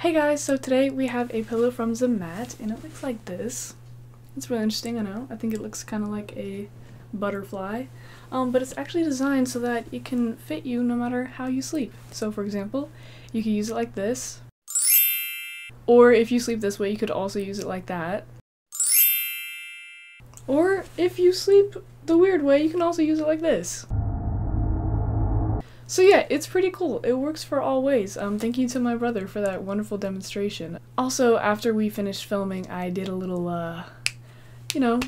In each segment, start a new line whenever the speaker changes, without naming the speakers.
Hey guys, so today we have a pillow from the and it looks like this. It's really interesting, I know. I think it looks kind of like a butterfly. Um, but it's actually designed so that it can fit you no matter how you sleep. So for example, you can use it like this. Or if you sleep this way, you could also use it like that. Or if you sleep the weird way, you can also use it like this. So yeah, it's pretty cool. It works for all ways. Um, thank you to my brother for that wonderful demonstration. Also, after we finished filming, I did a little, uh, you know,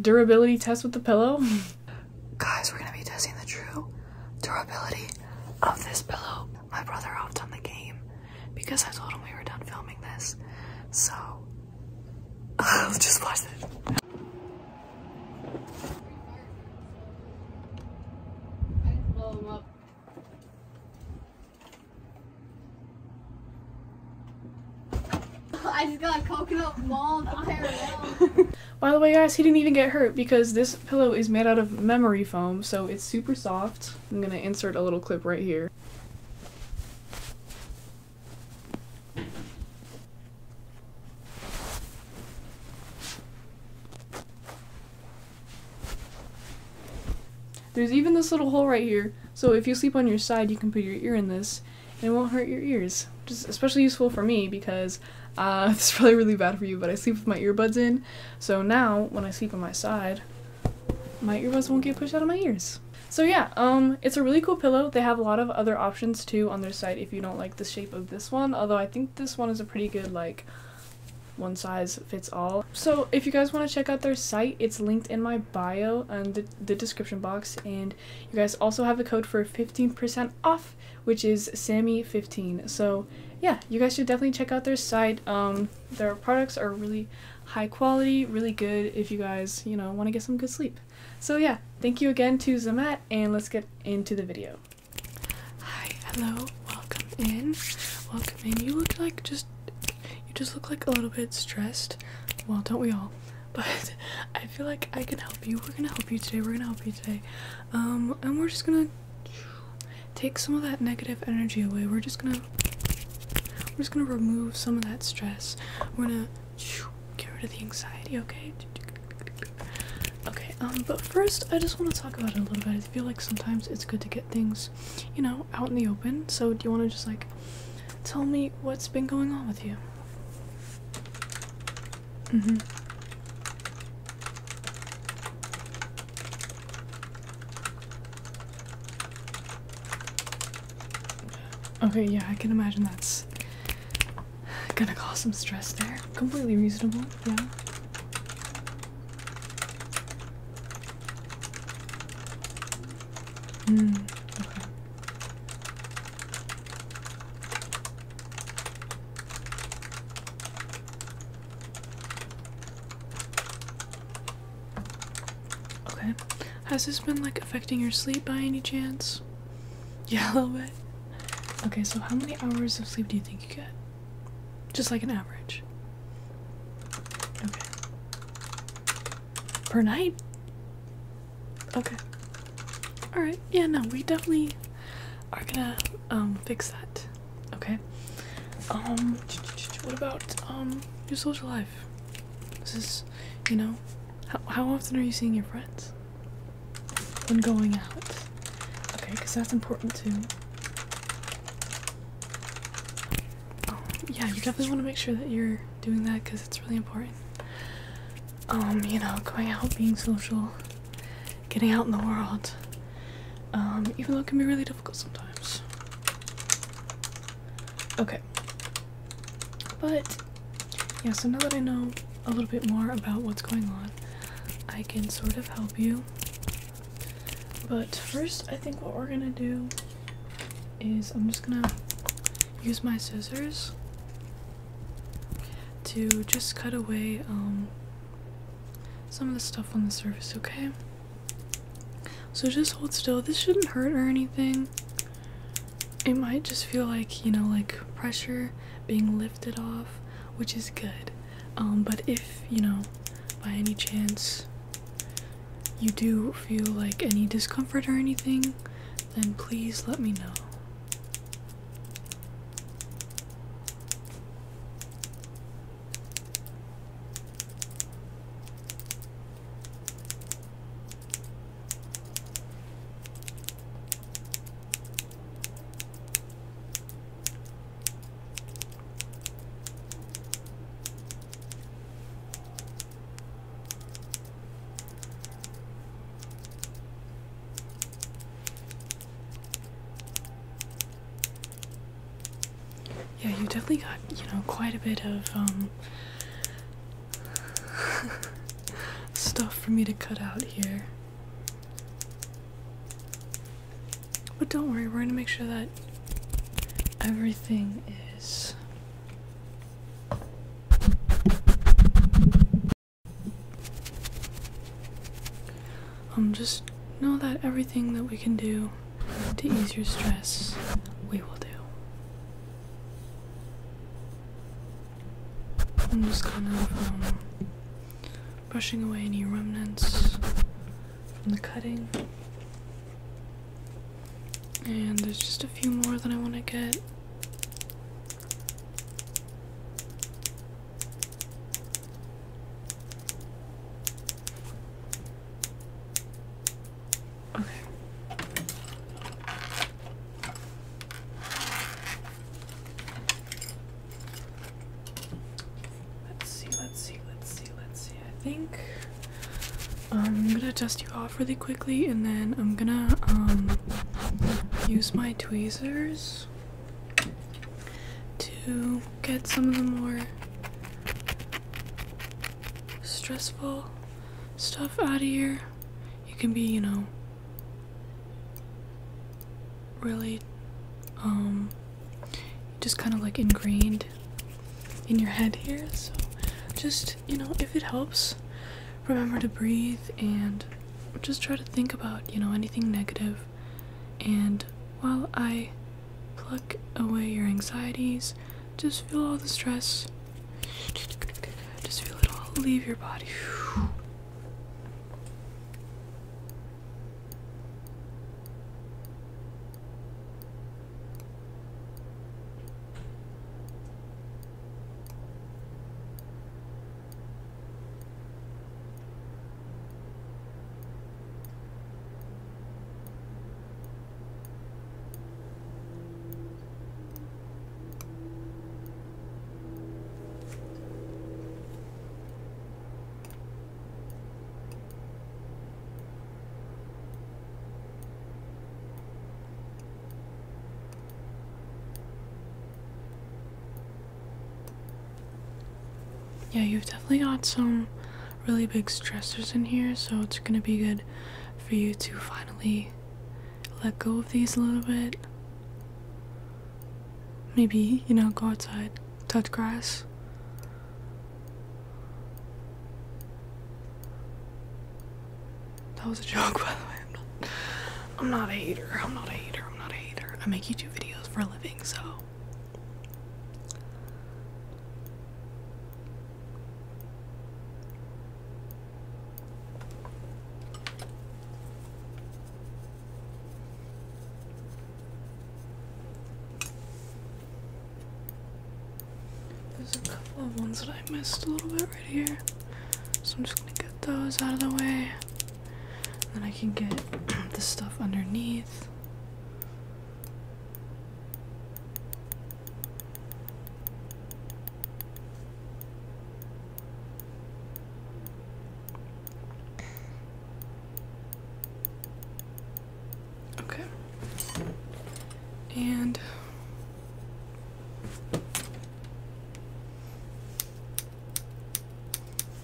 durability test with the pillow. Guys, we're gonna be testing the true durability of this pillow. My brother hopped on the game because I told him we were done filming this. So, just watch this. I just got coconut mall By the way, guys, he didn't even get hurt because this pillow is made out of memory foam, so it's super soft. I'm gonna insert a little clip right here. There's even this little hole right here, so if you sleep on your side, you can put your ear in this, and it won't hurt your ears. Which is especially useful for me because uh, it's probably really bad for you, but I sleep with my earbuds in, so now when I sleep on my side, my earbuds won't get pushed out of my ears. So yeah, um, it's a really cool pillow. They have a lot of other options too on their site if you don't like the shape of this one, although I think this one is a pretty good like one size fits all. So if you guys want to check out their site, it's linked in my bio and the, the description box. And you guys also have a code for 15% off, which is Sammy15. So yeah, you guys should definitely check out their site. Um, their products are really high quality, really good if you guys, you know, want to get some good sleep. So yeah, thank you again to Zamat and let's get into the video. Hi, hello, welcome in. Welcome in. You look like just you just look like a little bit stressed. Well, don't we all? But I feel like I can help you. We're gonna help you today. We're gonna help you today. Um, and we're just gonna take some of that negative energy away. We're just gonna we're just gonna remove some of that stress. We're gonna Get rid of the anxiety, okay? Okay, um, but first I just want to talk about it a little bit. I feel like sometimes it's good to get things, you know, out in the open. So do you want to just like tell me what's been going on with you? Mm-hmm. Okay, yeah, I can imagine that's Gonna cause some stress there. Completely reasonable, yeah. Mm, okay. Okay. Has this been like affecting your sleep by any chance? Yeah, a little bit. Okay, so how many hours of sleep do you think you get? Just like an average. Okay. Per night? Okay. Alright, yeah, no, we definitely are gonna um, fix that. Okay. Um what about um your social life? This is you know, how how often are you seeing your friends? when going out. Okay, because that's important too. Oh, yeah, you definitely want to make sure that you're doing that because it's really important. Um, you know, going out, being social, getting out in the world. Um, even though it can be really difficult sometimes. Okay. But yeah, so now that I know a little bit more about what's going on, I can sort of help you. But first, I think what we're gonna do is I'm just gonna use my scissors to just cut away um, some of the stuff on the surface, okay? So just hold still. This shouldn't hurt or anything it might just feel like you know like pressure being lifted off which is good um, but if you know by any chance you do feel like any discomfort or anything then please let me know yeah, you definitely got, you know, quite a bit of um stuff for me to cut out here. But don't worry, we're gonna make sure that everything is um just know that everything that we can do to ease your stress we will do I'm just kind of um, brushing away any remnants from the cutting. And there's just a few more that I want to get. Okay. Let's see, let's see, let's see, let's see. I think um, I'm gonna dust you off really quickly and then I'm gonna um, use my tweezers to get some of the more stressful stuff out of here you can be, you know, really um just kind of like ingrained in your head here. So just, you know, if it helps, remember to breathe and just try to think about, you know, anything negative. And while I pluck away your anxieties, just feel all the stress just feel it all leave your body. Yeah, you've definitely got some really big stressors in here, so it's gonna be good for you to finally let go of these a little bit. Maybe, you know, go outside, touch grass. That was a joke, by the way. I'm not, I'm not a hater. I'm not a hater. I'm not a hater. I make YouTube videos for a living, so. There's a couple of ones that I missed a little bit right here. So I'm just gonna get those out of the way. then I can get the stuff underneath. Okay. And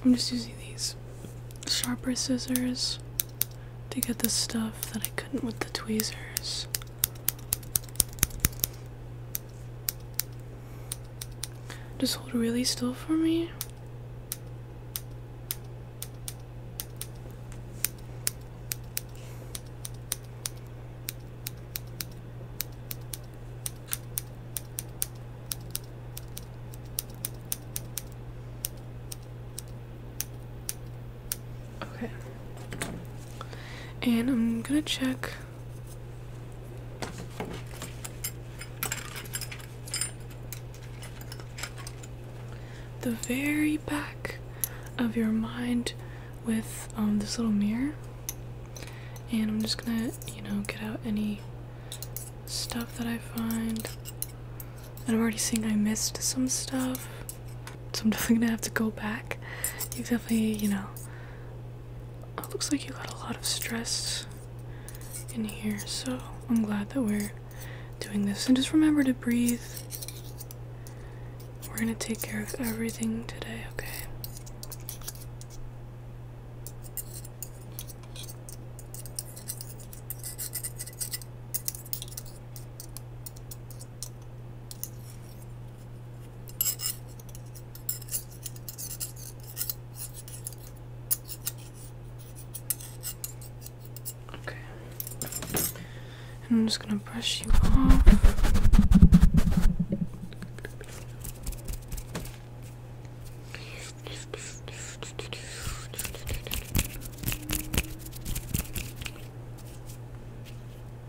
I'm just using these sharper scissors to get the stuff that I couldn't with the tweezers. Just hold really still for me. Okay. And I'm gonna check. The very back of your mind with um, this little mirror, and I'm just gonna, you know, get out any stuff that I find. And I'm already seeing I missed some stuff. So I'm definitely gonna have to go back. You definitely, you know. looks like you got a lot of stress in here, so I'm glad that we're doing this. And just remember to breathe. We're gonna take care of everything today, okay? Okay. I'm just going to brush you off.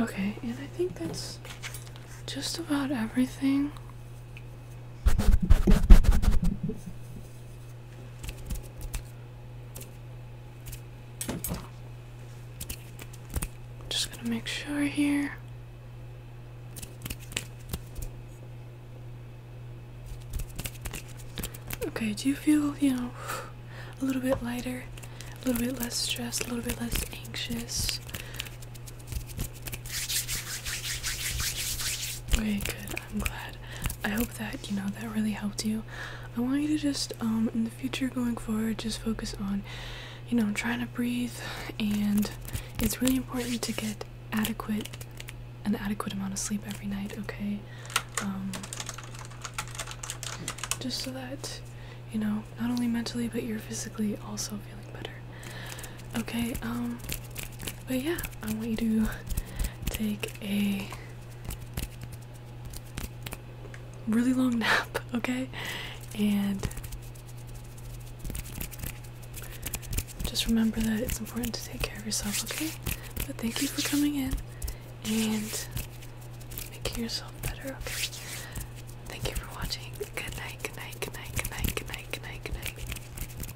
Okay, and I think that's just about everything. Just gonna make sure here. Okay, do you feel, you know, a little bit lighter, a little bit less stressed, a little bit less anxious? Okay, good. I'm glad. I hope that, you know, that really helped you. I want you to just, um, in the future going forward, just focus on, you know, trying to breathe, and it's really important to get adequate, an adequate amount of sleep every night, okay? Um, just so that you know, not only mentally but you're physically also feeling better. Okay, um but yeah, I want you to take a really long nap, okay? And just remember that it's important to take care of yourself, okay? But thank you for coming in and making yourself better, okay? Thank you for watching. Good night, good night, good night, good night, good night, good night, good night.